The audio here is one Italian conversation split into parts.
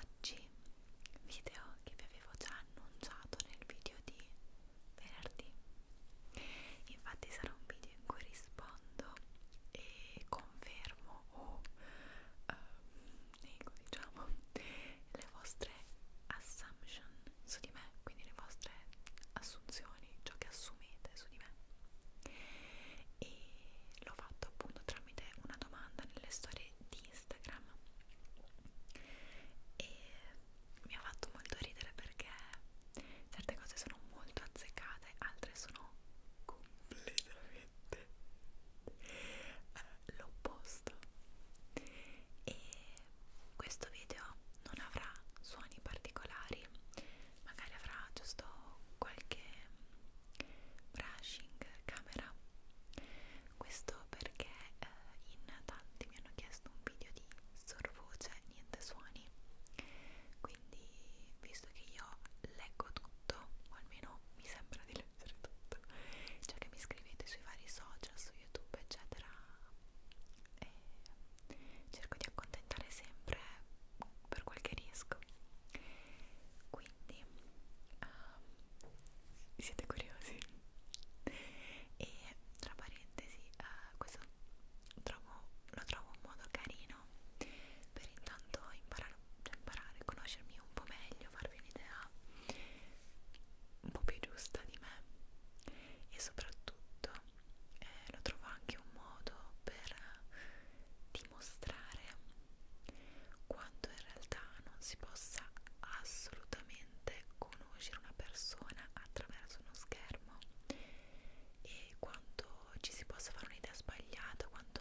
Oggi, video che vi avevo già annunciato nel video di venerdì, infatti sarà un video in cui rispondo e confermo o uh, nego diciamo le vostre assumption su di me, quindi le vostre assunzioni, ciò che assumete su di me e l'ho fatto appunto tramite una domanda nelle storie di Instagram e mi ha fatto molto ridere perché certe cose sono molto azzeccate, altre sono completamente eh, l'opposto e questo video non avrà suoni particolari magari avrà giusto qualche brushing camera questo perché eh, in tanti mi hanno chiesto un video di sorvoce niente suoni quindi visto che io leggo tutto o almeno mi sembra di leggere tutto cioè che mi scrivete sui vari social su youtube eccetera e eh, cerco di accontentare sempre per quel che riesco quindi quindi um, siete curiosi e tra parentesi uh, questo trovo, lo trovo un modo carino per intanto imparare, cioè imparare, conoscermi un po' meglio, farvi un'idea un po' più giusta di me e soprattutto eh, lo trovo anche un modo per dimostrare quanto in realtà non si possa assolutamente conoscere una persona attraverso uno schermo e quanto ci si possa fare un'idea sbagliata, quanto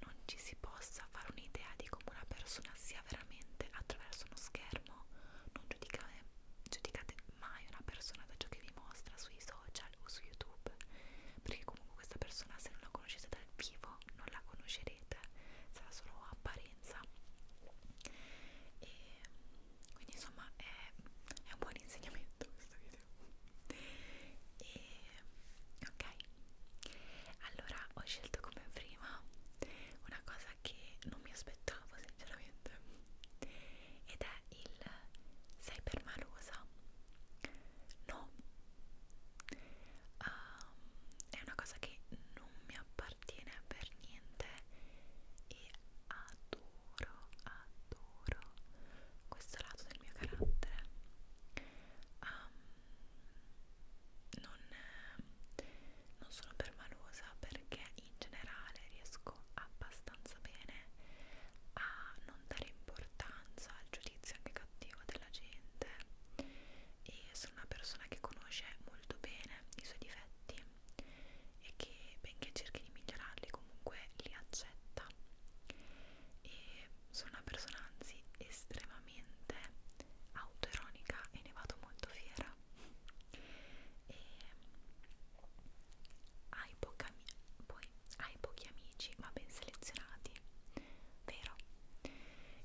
non ci si possa fare un'idea di come una persona sia veramente attraverso uno schermo, non giudicate, giudicate mai una persona da ciò che vi mostra sui social social o su YouTube perché comunque questa persona se non la conoscete dal vivo non la conoscerete sarà solo apparenza e quindi insomma è, è un buon insegnamento questo video e ok allora ho scelto come prima una cosa che non mi aspettavo sinceramente ed è il sei perma rosa no um, è una cosa che non mi appartiene per niente e adoro adoro questo lato del mio carattere um, non, non sono permalosa perché in generale riesco abbastanza bene a non dare importanza al giudizio cattivaletizia anche cattiva della gente e sono una persona che conosce molto bene i suoi difetti e che benché cerchi di migliorarli comunque li accetta e sono una persona anzi estremamente autoironica e ne vado molto fiera e hai poca poi hai pochi amici ma ben selezionati, vero?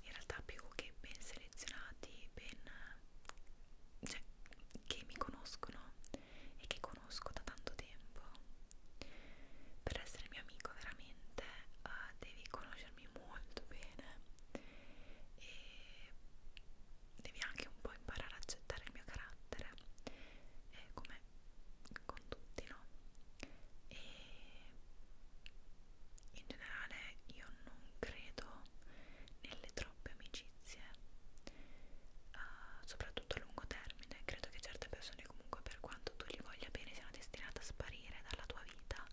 In realtà più che ben selezionati, ben... cioè, che mi conoscono e che conosco da tanto tempo. Per essere mio amico veramente uh, devi conoscermi molto bene e devi anche un po' imparare ad accettare il mio carattere. Eh, come con tutti, no? E in generale io non credo nelle troppe amicizie, uh, soprattutto a lungo termine. Credo che certe persone, comunque, per quanto tu gli voglia bene, siano destinate a sparire dalla tua vita.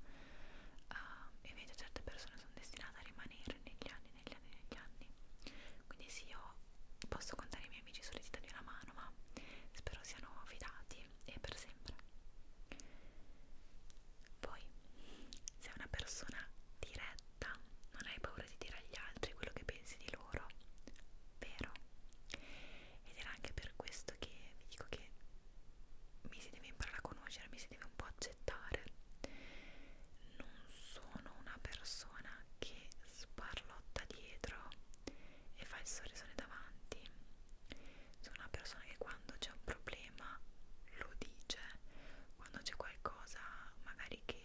Uh, invece certe persone sono destinate a rimanere negli anni, negli anni, negli anni. Quindi sì, io posso contare i miei amici sulle dita di una mano, ma spero siano fidati e per sempre. Poi, sei una persona diretta, non hai paura di dire agli altri quello che pensi di loro, vero? Ed era anche per questo che vi dico che mi si deve imparare a conoscere, mi si deve un po' accettare. Non sono una persona che sparlotta dietro e fa il sorrisone davanti. Sono una persona che quando c'è un problema lo dice, quando c'è qualcosa magari che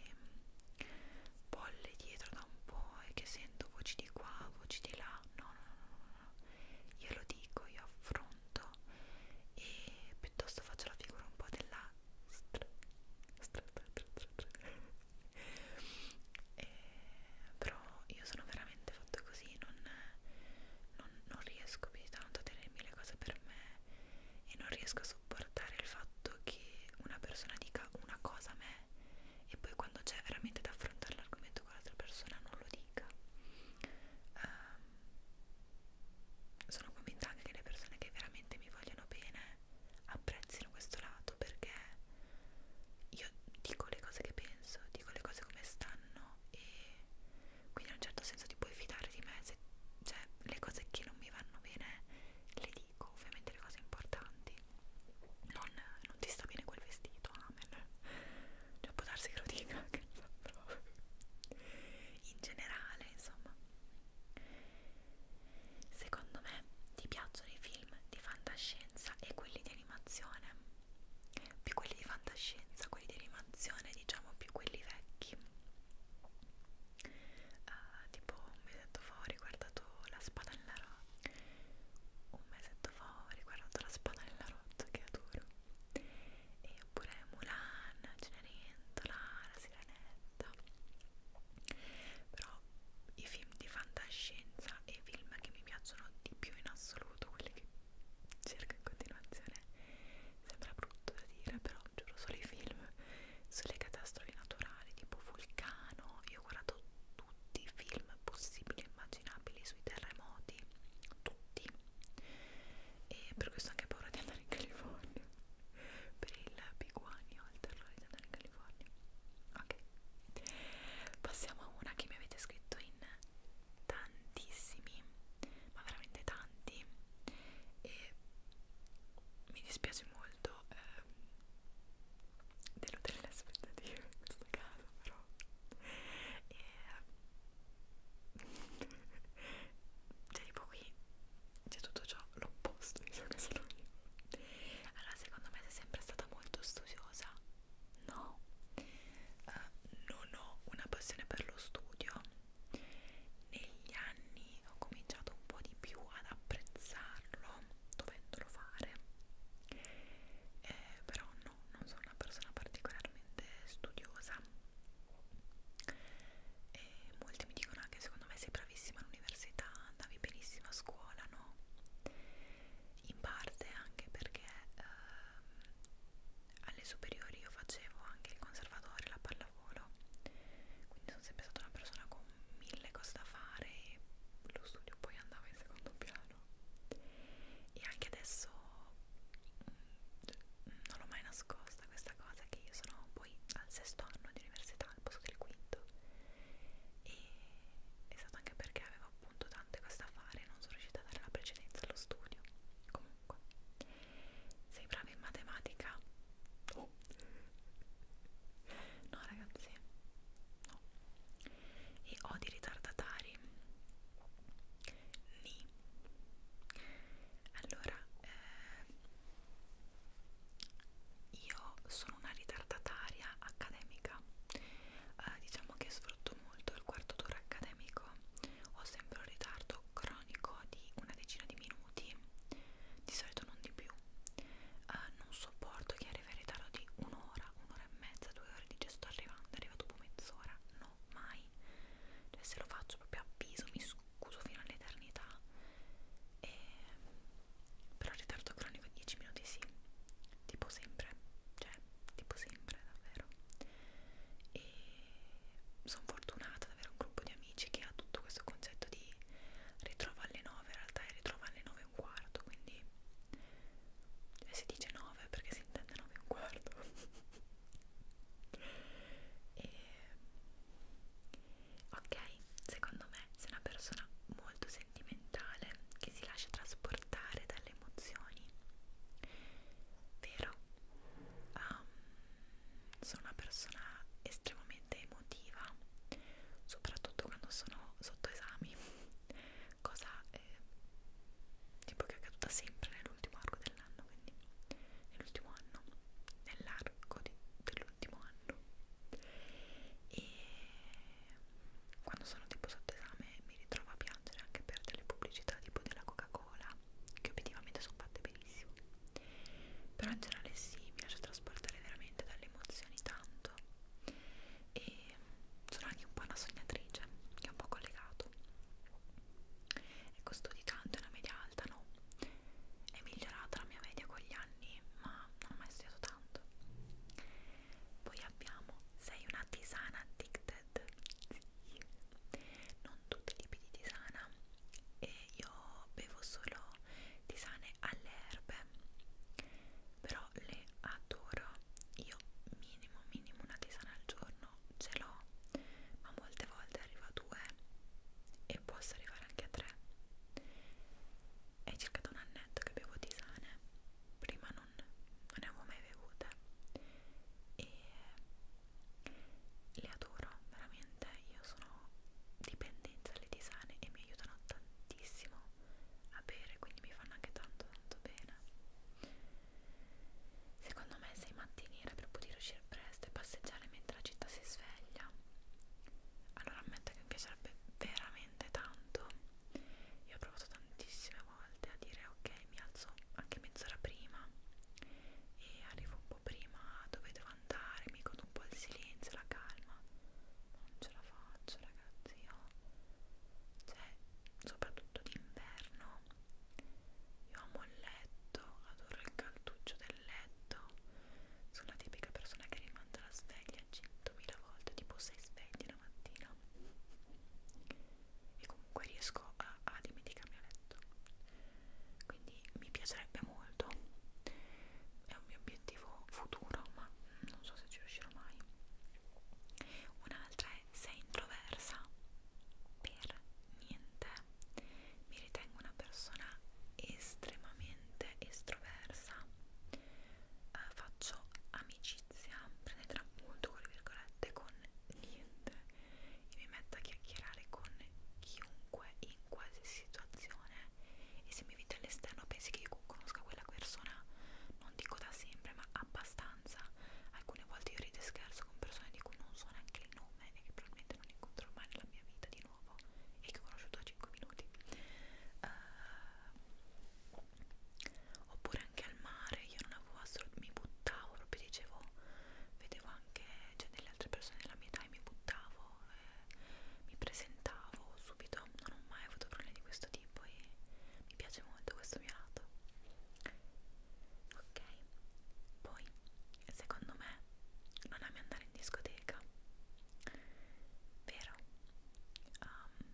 bolle dietro da un po' e che sento voci di qua, voci di là, no, no, no, no, no. io lo dico, io affronto e piuttosto faccio la figura un po' della stra, stra, stra, stra, stra, stra e, eh, però io sono veramente fatto così non, non, non riesco più di tanto a tenermi le cose per me e non riesco a sopportare il fatto che una persona dica una cosa a me e poi quando c'è veramente da affrontare l'argomento con l'altra persona non lo dica um, sono convinta anche che le persone che veramente mi vogliono bene apprezzino questo lato perché io dico le cose che penso, dico le cose come stanno e quindi in un certo senso ti puoi fidare di me, se, cioè le cose che non mi vanno bene le dico, ovviamente le cose importanti, non, non ti sta bene quel vestito, amen, cioè può darsi che lo dica, che non so, in generale insomma, secondo me ti piacciono i film film di fantascienza e quelli di animazione più quelli di fantascienza, quelli di animazione diciamo più quelli vecchi uh, tipo un mesetto fa ho riguardato la spada nella roccia un mesetto fa ho riguardato la spada nella roccia che adoro e oppure Mulan, Cenerentola, la sirenetta però però i film di fantascienza e i film che mi piacciono di più in assoluto, quelli che cerco in continuazione, sembra brutto da dire, però giuro solo i film sulle catastrofi naturali, tipo Vulcano, io ho guardato tutti i film possibili e immaginabili sui terremoti, tutti, e per questo ho anche paura di andare in California, per il biguanio, il terrore di andare in California, ok Passiamo a una che mi avete scritto in tantissimi, ma veramente tanti, e mi dispiace molto ehm, deludere le aspettative in questo caso, però e, ehm, cioè tipo qui c'è tutto ciò l'opposto di ciò che sono io allora secondo me sei sempre stata molto studiosa, no, uh, non ho una passione per lo studio. Negli anni ho cominciato un po' di più ad apprezzarlo, dovendolo fare, eh, però no, non sono una persona particolarmente studiosa. E molti mi dicono anche secondo me sei bravissima all'università, andavi benissimo a scuola, no? in parte anche perché ehm, alle superiori io facevo anche il conservatorio, la pallavolo, quindi sono sempre stata una persona con mille cose da fare e lo studio poi andava in secondo piano e anche adesso mm, non l'ho mai nascosta questa cosa che io sono poi al sesto anno di università al posto del quinto e è stato anche perché avevo appunto tante cose da fare non sono riuscita a dare la precedenza allo studio comunque sei brava in matematica? Oh. no ragazzi no e odi ritardatari? ni allora eh, io sono sono una ritardataria accademica eh, diciamo che sfrutto molto il quarto d'ora accademico ho sempre un ritardo cronico di una decina di minuti di solito non di più eh, non sopporto chi arriva in ritardo di un'ora, un'ora e mezza, due ore dice sto arrivando, arriva dopo mezz'ora no, mai cioè se lo faccio proprio avviso, mi scuso fino all'eternità e però il ritardo cronico 10 minuti sì tipo sempre cioè tipo sempre davvero e sono fortunata ad avere un gruppo di amici che ha tutto questo concetto di ritrova alle 9 in realtà è ritrova alle 9 e un quarto quindi cioè, si dice 9 perché si intende 9 e un quarto e ok secondo me se una persona molto seria sentimentale che si lascia trasportare dalle emozioni, vero? Um, sono una persona estremamente emotiva, soprattutto quando sono sotto esami, cosa eh, tipo che è accaduta sempre nell'ultimo arco dell'anno, quindi nell'ultimo anno, nell'arco dell'ultimo anno. E quando sono tipo sotto esame mi ritrovo a piangere anche per delle pubblicità tipo della Coca-Cola che obiettivamente sono fatte benissimo però in generale sì, mi lascio trasportare veramente dalle emozioni tanto e sono anche un po' una sognatrice che è un po' collegato ecco studi tanto, è una media alta no? è migliorata la mia media con gli anni ma non ho mai studiato tanto tanto poi abbiamo sei una tisana addicted sì. non tutti i tipi di tisana e io bevo solo tisane alle erbe però le adoro io minimo minimo una tisana al giorno ce l'ho ma molte volte arriva a due e posso arrivare anche a tre è circa da un annetto che bevo tisane prima non non, non ne avevo mai bevute e le adoro veramente io sono dipendente dalle tisane e mi aiutano tantissimo a bere quindi mi fanno anche tanto tanto bene secondo me sei mattiniera per poter uscire presto e passeggiare mentre la città si sveglia allora ammetto che mi piacerebbe veramente veramente tanto io ho provato tantissime volte a dire ok mi alzo anche mezz'ora prima e arrivo un po' prima dove devo andare mi godo un po' il silenzio, la calma ma non ce la faccio ragazzi io cioè soprattutto d'inverno io amo il letto adoro il calduccio del letto sono la tipica persona che rimanda la sveglia 100.000 volte tipo sei svegli la mattina e comunque riesco a, a dimenticarmi a letto quindi mi piacerebbe molto è un mio obiettivo futuro ma non so se ci riuscirò mai un'altra è sei introversa per niente mi ritengo una persona estremamente estroversa eh, faccio amicizia inizia prendetela molto con le virgolette con niente e mi metto a chiacchierare con chiunque in qualsiasi situazione e se mi vedo all'esterno pensi che io conosca quella persona non dico da sempre ma abbastanza alcune volte io rido e scherzo con persone di cui non so neanche il nome e che probabilmente non incontro mai nella mia vita di nuovo e che ho conosciuto da 5 minuti uh, oppure anche al mare io non avevo assolutamente, mi buttavo proprio dicevo, vedevo anche cioè, delle altre persone della mia età e mi buttavo eh, mi presentavo subito, non ho mai avuto problemi di questo tipo e mi piace molto questo mio lato ok poi secondo me non ami andare in discoteca vero um,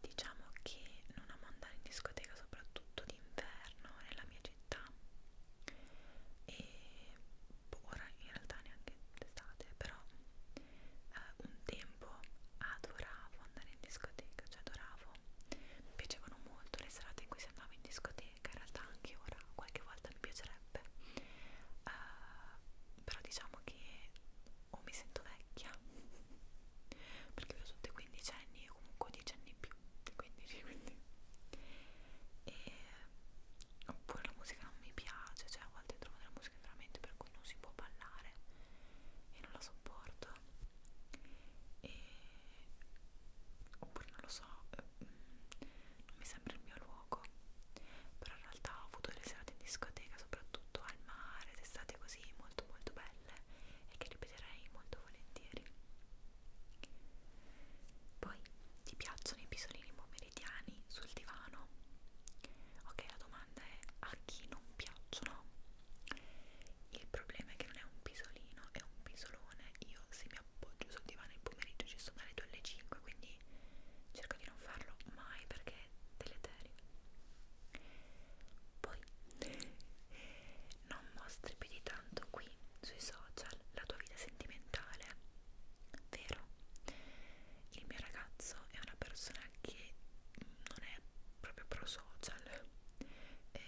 diciamo che non amo andare in discoteca soprattutto d'inverno nella mia città e boh, ora in realtà neanche d'estate però eh, un tempo adoravo andare in discoteca cioè adoravo mi piacevano molto le serate in cui si andava in discoteca in realtà anche ora qualche volta mi piacerebbe eh, però diciamo che o mi sento vecchia perché ho sotto i 15 anni o comunque 10 anni in più di 15 quindi e oppure la musica non mi piace cioè a volte trovo della musica veramente per cui non si può ballare e non la sopporto e oppure non lo so eh, mm, non mi sembra il mio luogo però in realtà ho avuto delle serate in discoteca soprattutto al mare d'estate così molto molto belle e che ripeterei molto volentieri poi ti piacciono i pisolini pomeridiani sul divano? ok la domanda è a chi non piacciono? il problema è che non è un pisolino è un pisolone io se mi appoggio sul divano il pomeriggio ci sono dalle 2 alle 5 quindi quindi cerco di non farlo mai perché è deleterio. Poi non mostri più di tanto qui sui social la tua vita sentimentale, vero? Il mio ragazzo è una persona che non è proprio pro social. E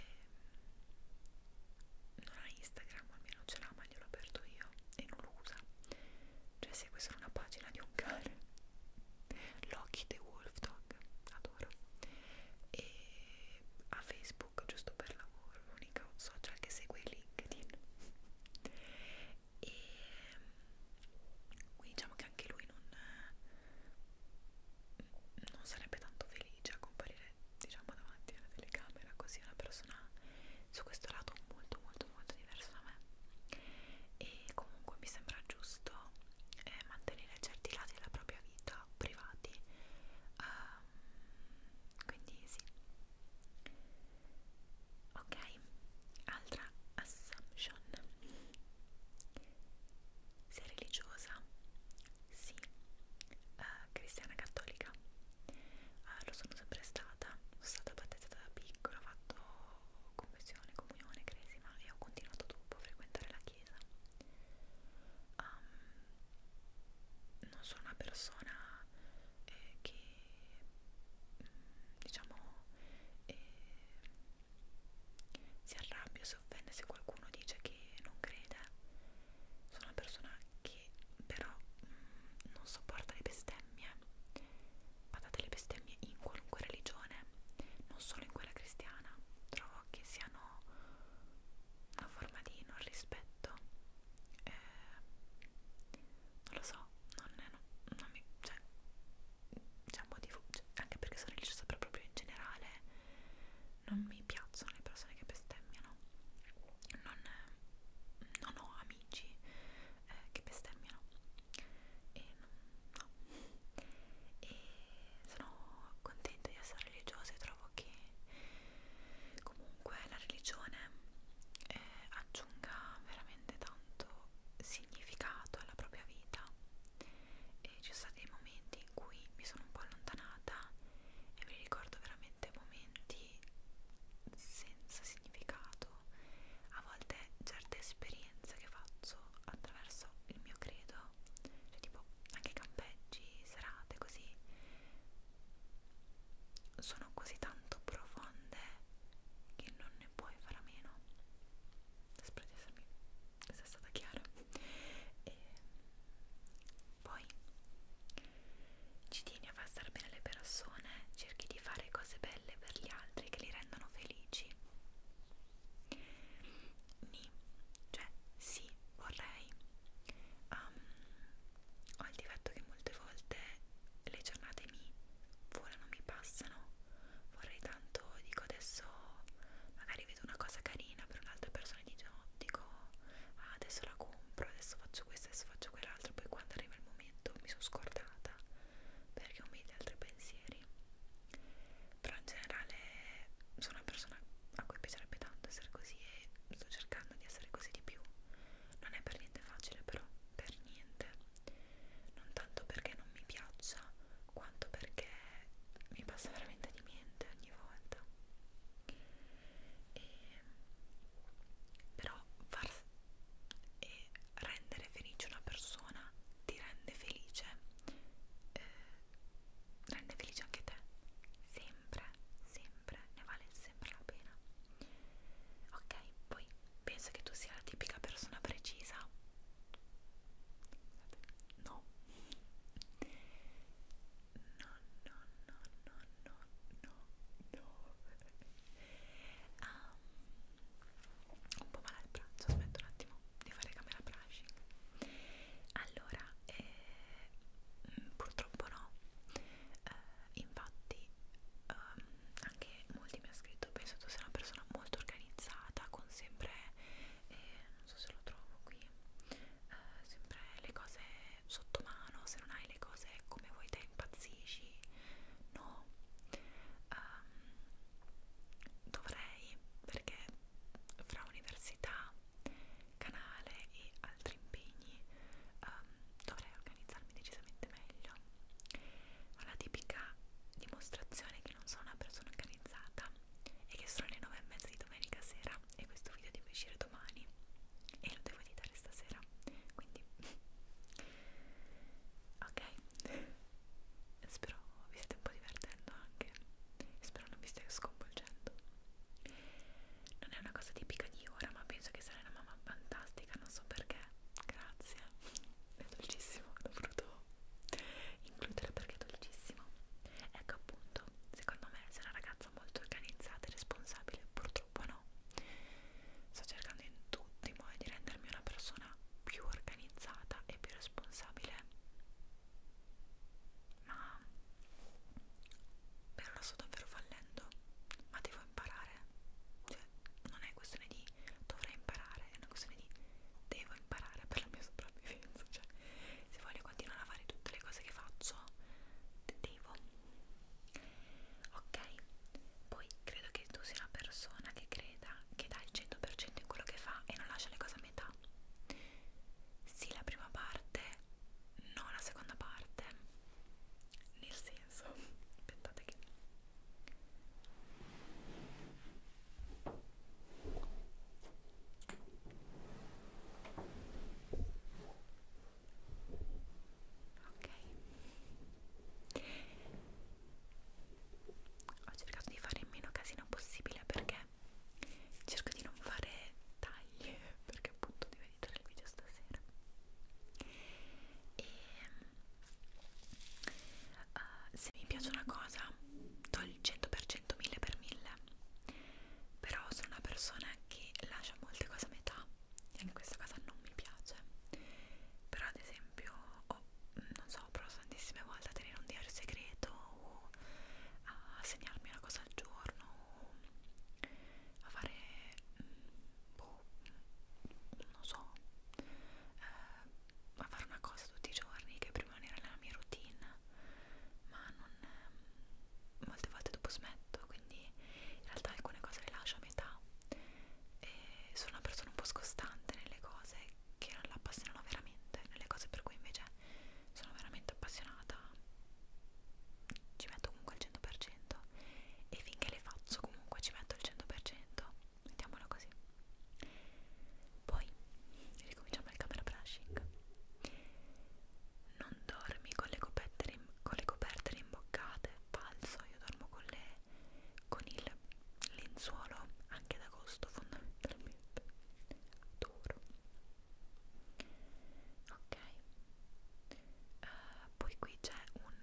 non ha Instagram, almeno ce l'ha, ma glielo ho aperto io e non lo usa cioè segue solo una pagina di un cane Loki the Wolf Dog adoro e a Facebook giusto per lavoro l'unico social che segue è LinkedIn e mm, quindi diciamo che anche lui non mm, non sarebbe tanto felice a comparire diciamo davanti alla telecamera così una persona su questo lato molto molto molto molto diverso da me e comunque mi sembra giusto eh, mantenere certi lati della propria vita privati um, quindi sì ok altra assumption sei religiosa? sì uh, cristiana cattolica? Uh, lo sono sempre stata sono stata battezzata da piccola ho fatto confessione, comunione, cresima e ho continuato dopo a frequentare la chiesa. Um, non sono una persona eh, che mm, diciamo eh, si arrabbia, si offende se qualcuno dice che non crede. Sono una persona che però mh, mm, non sopporta le bestemmie Badate le bestemmie in qualunque religione, non solo in quella cristiana, trovo che siano una forma di non rispetto. Eh, non lo so, non, non, non mi. Cioè, c'è un motivo, cioè, anche perché sono religiosa, però proprio in generale non mi piacciono le persone che bestemmiano. Non, non ho amici eh, che bestemmiano. E no e sono contenta di essere religiosa e trovo che comunque la religione eh, aggiunga veramente tanto significato alla propria vita e ci sono stati dei momenti in cui mi sono un po' allontanata e mi ricordo veramente momenti senza significato credo a volte certe esperienze che faccio attraverso il mio credo cioè tipo anche campeggi, serate così sono così tanto profonde che non ne puoi fare a meno spero di essermi sia stata chiara e poi ci tieni a far star bene le persone cerchi di fare cose belle per gli altri che li rendono felici oggi. Ni, cioè sì, vorrei. Um, ho il difetto che molte volte le giornate mi volano, mi passano. Vorrei tanto, dico adesso magari vedo una cosa carina per un'altra persona e dico ah, adesso la compro, adesso faccio questo, adesso faccio quell'altro, poi quando arriva il momento mi sono scordata perché ho mille altri pensieri animali però in generale sono una persona a cui piacerebbe tanto essere così e sto cercando di essere così di più non è per niente facile però per niente non tanto perché non mi piaccia quanto perché mi passa veramente di niente ogni volta e però far, e rendere felice una persona ti rende felice eh, rende felice anche te sempre sempre ne vale sempre la pena ok poi penso che tu sia la tipica persona precisa no no no no no no no no um, un po' male al braccio, aspetta un attimo di fare camera brushing allora eh, purtroppo no eh, infatti um, anche molti mi hanno scritto penso tu sei una persona molto organizzata con sempre eh, non so se lo trovo qui eh, sempre le cose sotto mano se non hai le cose come vuoi te impazzisci no um, dovrei perché fra università, canale e altri impegni um, dovrei organizzarmi decisamente meglio. Ho la tipica dimostrazione che non sono una persona organizzata e che sono le 9 e mezza di domenica sera e questo video deve uscire domani e lo devo editare stasera quindi ok spero vi state un po' divertendo anche spero non vi stia sconvolgendo non è una cosa tipica di ora ma penso che sarei una mamma fantastica non so perché grazie è dolcissimo l'ho voluto includere perché è dolcissimo ecco appunto secondo me sei una ragazza molto organizzata e responsabile purtroppo no sto cercando in tutto il modo di rendermi una persona più organizzata e più responsabile ma per ora sto davvero fallendo ma devo imparare cioè non è questione di dovrei imparare è una questione di devo imparare per la mia sopravvivenza cioè se voglio continuare a fare tutte le cose che faccio devo ok poi credo che tu sia una persona che creda che dà il 100% in quello che fa e non lascia le cose a metà sì la prima parte no la seconda parte nel senso aspettate che ok ho cercato di fare il meno casino possibile perché cerco di non fare tagli perché appunto devo editare il video stasera e uh, se mi piace una cosa do il 100% 1000 per 1000 però sono una persona che lascia molte cose a metà e anche questa cosa non mi piace però ad esempio esempio ho, non so, provato tantissime volte a tenere un diario segreto o a segnarmi una cosa al giorno o a fare, mm, boh, mm, non so, eh, a fare una cosa tutti i giorni che prima non era nella mia routine ma non, eh, molte volte dopo smetto quindi in realtà alcune cose le lascio a metà e sono una persona un po' scostante nelle cose che non la appassionano veramente, nelle cose per cui invece sono veramente appassionata ci metto comunque il 100% e finché le faccio comunque ci metto il 100%, mettiamolo così. Poi ricominciamo il camera brushing. Non dormi con le coperte, con le coperte rimboccate, falso, io dormo con le con il lenzuolo anche ad agosto fondamentalmente adoro ok uh, poi qui c'è un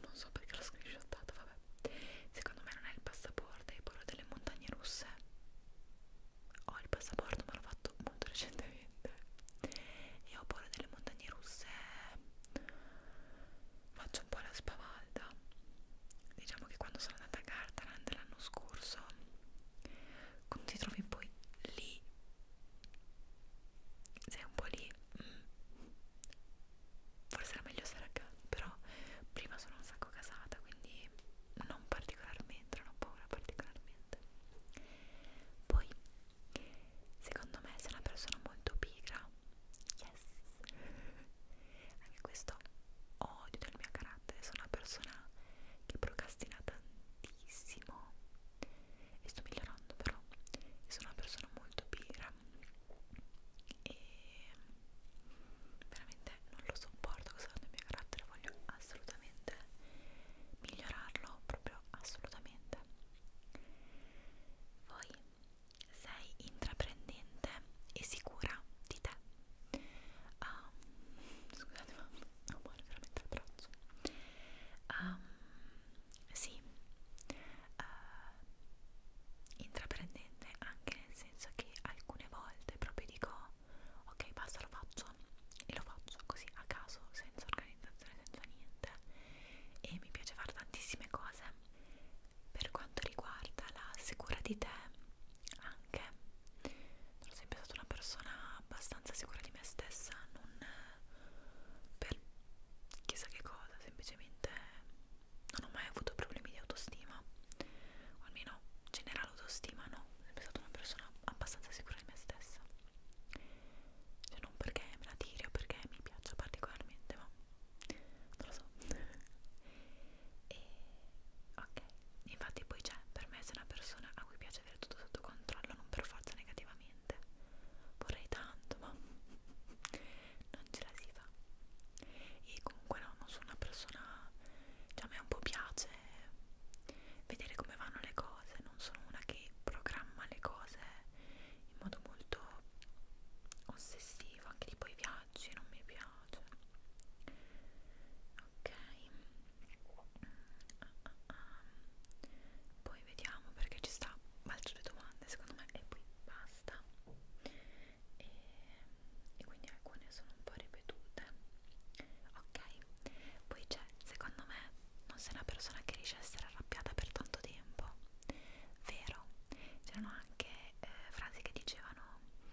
non so perché l'ho screenshottato vabbè secondo me non è il passaporto è quello delle montagne russe ho il passaporto ma l'ho fatto molto recentemente e ho paura delle montagne russe faccio un po' la spavalda diciamo che quando sono andata a Gardaland l'anno scorso quando ti trovi poi lì sei un po' lì mm. forse era meglio stare a casa però prima sono un sacco casata quindi non particolarmente non ho paura particolarmente poi secondo me sei una persona molto pigra Yes! Anche questo odio del mio carattere, sono una persona che procrastina tantissimo e sto migliorando però, sono una persona molto pira e veramente non lo sopporto questo del mio carattere, voglio assolutamente migliorarlo, proprio assolutamente. Voi sei intraprendente e sicura di te. Um, scusate, ma non muore veramente il braccio. Um, ehm, sì, uh, intraprendente anche nel senso che alcune volte proprio dico ok basta lo faccio e lo faccio così a caso senza organizzazione senza niente e mi piace fare tantissime cose per quanto riguarda la sicura di te anche sono sempre stata una persona abbastanza sicura di me stessa non per chissà che cosa semplicemente non ho mai avuto problemi di autostima o almeno generale autostima no sono sempre stata una persona abbastanza sicura di me stessa cioè non perché me la tiri o perché mi piaccia particolarmente ma non lo so e ok infatti poi c'è per me se una persona a cui piace avere tutto sotto controllo non per forza negativamente vorrei tanto ma non ce la si fa e comunque no non sono una persona cioè a me un po' piace vedere come vanno le cose non sono una che programma le cose in modo molto ossessivo anche tipo i viaggi non mi piace ok uh, uh, uh. poi vediamo perché ci sta altre domande secondo me e poi basta e, e quindi alcune sono un po' ripetute ok poi c'è secondo me non sei una persona che riesce a essere arrabbiata per tanto tempo vero c'erano anche eh, frasi che dicevano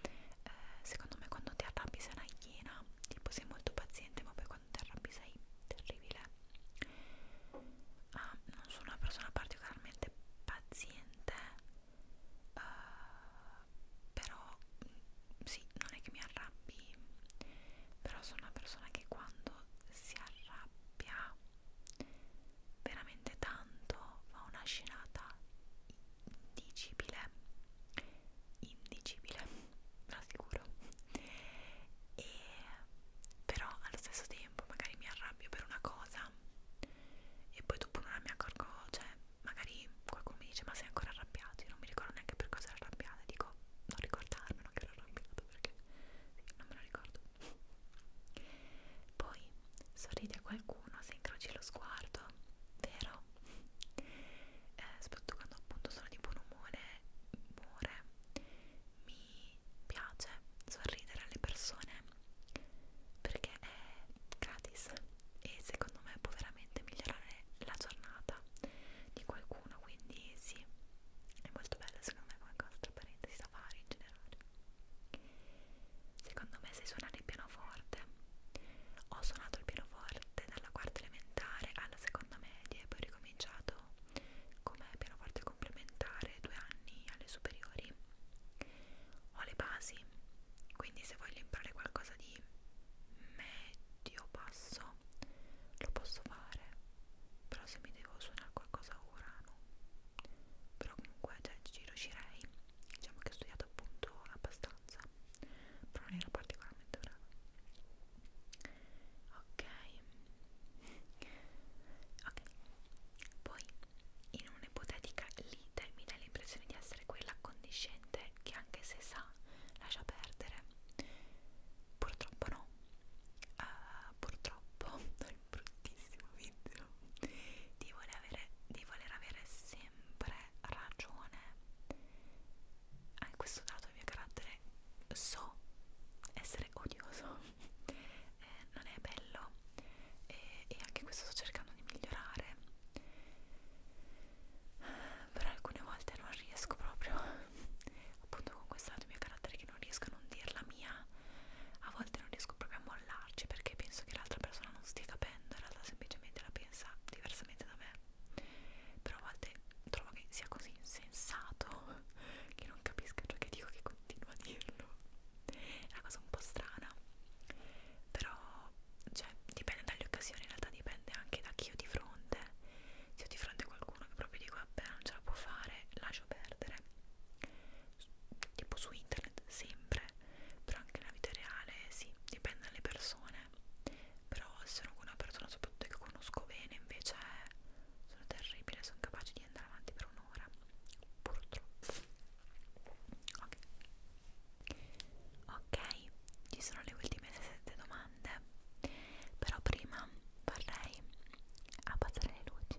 eh, secondo me quando ti arrabbi sei una iena tipo sei molto paziente ma poi quando ti arrabbi sei terribile ah, non sono una persona particolarmente paziente eh, però mm, sì non è che mi arrabbi però sono una persona che quando si arrabbia veramente tanto fa una scenata indicibile indicibile ve lo assicuro e però allo stesso tempo magari mi arrabbio per una cosa e poi dopo non mi accorgo cioè magari qualcuno mi dice ma sei ancora arrabbiato io non mi ricordo neanche per cosa ero arrabbiata dico non ricordarmelo che ero arrabbiato perché sì, non me lo ricordo poi sorridi a qualcuno se incroci lo sguardo, vero? Eh, soprattutto quando appunto sono di buon umore, umore, mi piace sorridere alle persone perché è gratis e secondo me può veramente migliorare la giornata di qualcuno, quindi sì, è molto bello secondo me come cosa, tra parentesi da fare in generale. Secondo me sai suonare il pianoforte. Ho suonato il pianoforte dalla quarta elementare alla seconda media e poi ho ricominciato come pianoforte complementare due anni alle superiori. Ho le basi, quindi se voglio imparare qualcosa di medio basso lo posso fare, però se mi devo suonare qualcosa ora no però comunque cioè, ci riuscirei diciamo che ho studiato appunto abbastanza però non ero particolarmente brava ok ok poi in un'ipotetica lite mi dà l'impressione di essere quella accondiscente che anche se sa lascia perdere purtroppo no uh, purtroppo non bruttissimo video di voler avere, di voler avere sempre ragione anche ah, questo dato il mio carattere so essere odioso eh, non è bello e, e anche questo sto cercando di migliorare però alcune volte non riesco proprio appunto con questo dato il mio carattere che non riesco a non dirla mia a volte non riesco proprio a mollarci perché penso che l'altra persona non stia capendo, in realtà semplicemente la pensa diversamente da me, però a volte trovo che sia così insensato che non capisca ciò che dico che continuo a dirlo, è una cosa un po' strana, però cioè, dipende dalle occasioni, in realtà dipende anche da chi ho di fronte, se ho di fronte qualcuno che proprio dico vabbè non ce la può fare, lascio perdere tipo su internet sempre però anche la vita reale sì, dipende dalle persone però se sono con una persona soprattutto che conosco bene invece sono terribile, sono capace di andare avanti per un'ora purtroppo ok ok, ci sono le ultime sette domande però prima vorrei abbassare le luci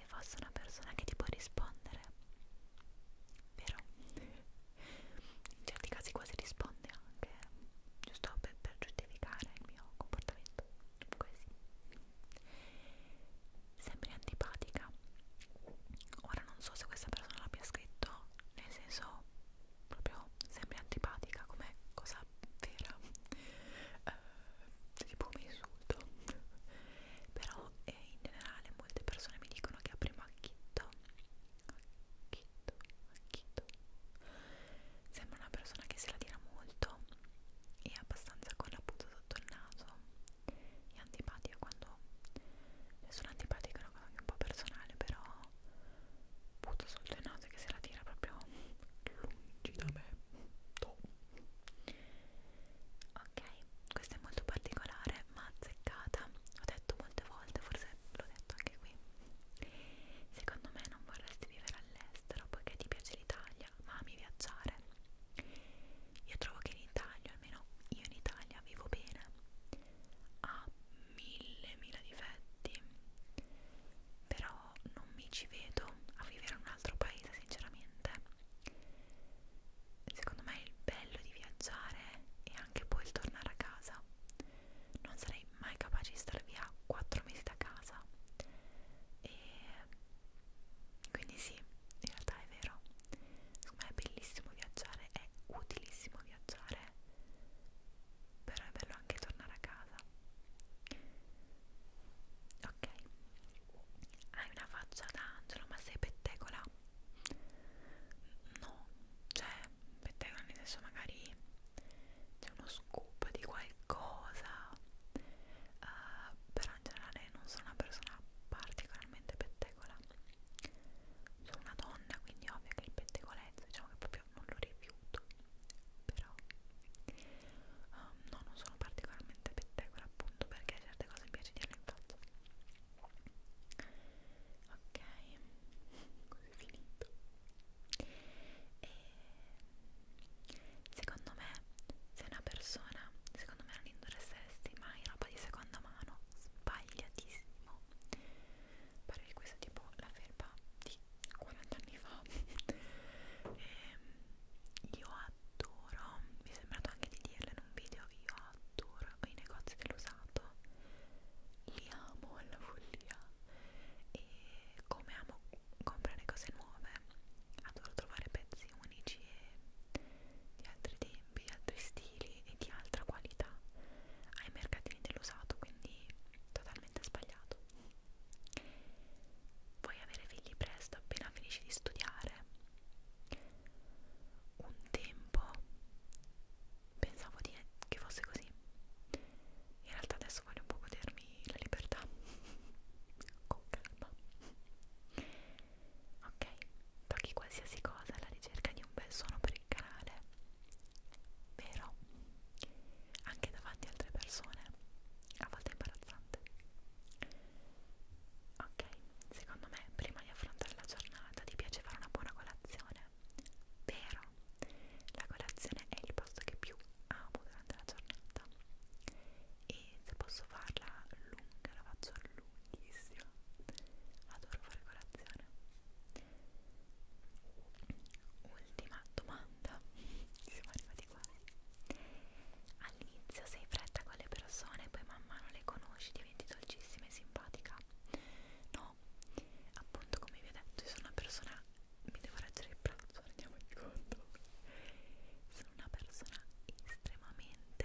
se fosse una persona che ti può rispondere vero? in certi casi quasi risponde anche giusto per, per giustificare il mio comportamento così sembri antipatica ora non so se questa persona l'abbia scritto nel senso proprio sembri antipatica come cosa vera eh, tipo un insulto però eh, in generale molte persone mi dicono che aprimo a Chitto Chitto, Chitto sembra una persona che se la tira molto e abbastanza con la punta sotto il naso è antipatica quando cioè, sono antipatica è una cosa anche un po' personale però punto sotto il naso che se la tira proprio lungi da me Top ok questa è molto particolare ma azzeccata ho detto molte volte forse l'ho detto anche qui secondo me non vorresti vivere all'estero poiché ti piace l'Italia ma ami viaggiare io trovo che in Italia almeno io in Italia vivo bene ha mille mila difetti però non mi ci vedo a vivere in un altro paese sinceramente secondo me il bello di viaggiare è anche poi il tornare a casa non sarei mai capace di stare via 4 mesi da casa e quindi sì in realtà è vero secondo me è bellissimo viaggiare è utilissimo viaggiare però è bello anche tornare a casa ok hai una faccia d'angelo ma sei pettegola no cioè pettegola nel senso magari c'è uno scoop di qualcosa uh, però in generale non sono una persona particolarmente pettegola sono una donna quindi è ovvio che il pettegolezzo diciamo che proprio non lo rifiuto però um, no non sono particolarmente pettegola appunto perché certo certe cose mi piace dirle in faccia ok così finito e secondo me se una persona secondo me non indosseresti mai roba di seconda mano sbagliatissimo pare che questo tipo la felpa di 40 anni fa e ehm, io adoro, mi è sembrato anche di dirla in un video, io adoro i negozi dell'usato, li amo alla follia e come amo comprare cose nuove, adoro trovare pezzi unici e di altri tempi, di altri stili e di altra qualità ai mercatini dell'usato, quindi totalmente sbagliato. Vuoi avere figli presto appena finisci di studiare? Un tempo pensavo di, che fosse così, in realtà adesso voglio un po' godermi la libertà, con calma. Ok, tocchi qualsiasi cosa alla ricerca di un bel suono per il canale, vero? Anche davanti a altre persone, a volte imbarazzante. Ok, secondo me prima di affrontare la giornata ti piace fare una buona colazione. Vero, la colazione è il posto che più amo durante la giornata e se posso farla lunga la faccio lunghissima. Adoro fare colazione. Ultima domanda, siamo arrivati quasi all'inizio sei fredda con le persone, poi man mano le conosci, diventi dolcissima e simpatica. No, appunto come vi ho detto, io sono una persona, mi devo reggere il pranzo, rendiamoci conto. Sono una persona estremamente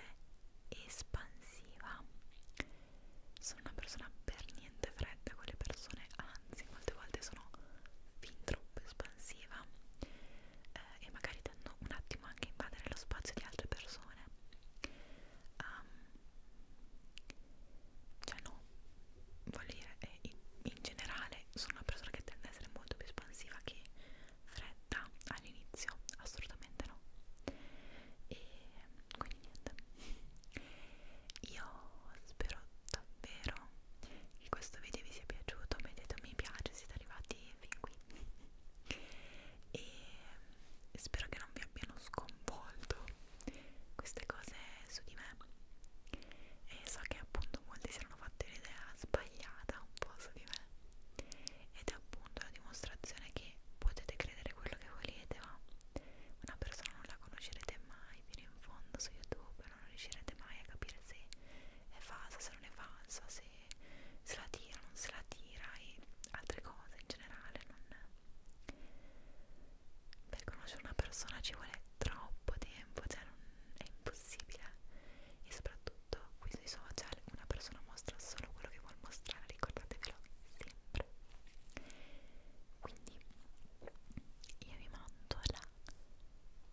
espansiva. Sono una persona per niente fredda con le persone, anzi molte volte sono fin troppo espansiva eh, e magari tendono un attimo anche a invadere lo spazio di altre persone um, cioè no voglio dire eh, in, in generale sono una persona che tende ad essere molto più espansiva che fredda all'inizio assolutamente no e quindi niente io spero davvero che questo video vi sia piaciuto mettete un mi piace siete arrivati fin qui e spero che non vi abbiano sconvolto queste cose su di me e so che appunto molti si erano fatti un'idea sbagliata un po' su di me ed è appunto la dimostrazione che potete credere quello che volete ma una persona non la conoscerete mai fino in fondo su YouTube non riuscirete mai a capire se è falsa, se non è falsa, se se, se la tira o non se la tira e altre cose in generale non per conoscere una persona ci vuole troppo tempo cioè non è impossibile e soprattutto qui sui social una persona mostra solo quello che vuole mostrare ricordatevelo sempre quindi io vi mando la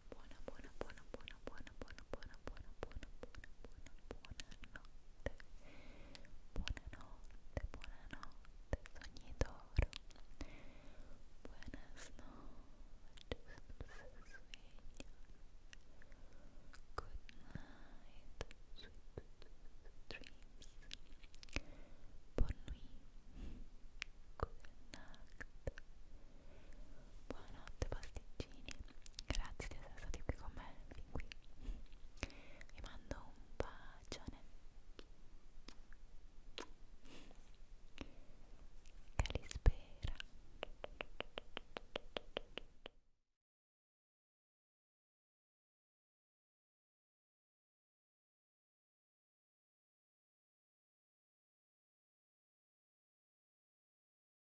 buona buona buona buona, buona, buona, buona, buona, buona, buona, buona, buona, buonanotte. Buonanotte, buonanotte, sogni d'oro. Buenas Good night, sweet dreams. Bonne nuit, good night. Buonanotte pasticcini, grazie di essere stati qui con me fin qui. Vi mando un bacione. Calispera.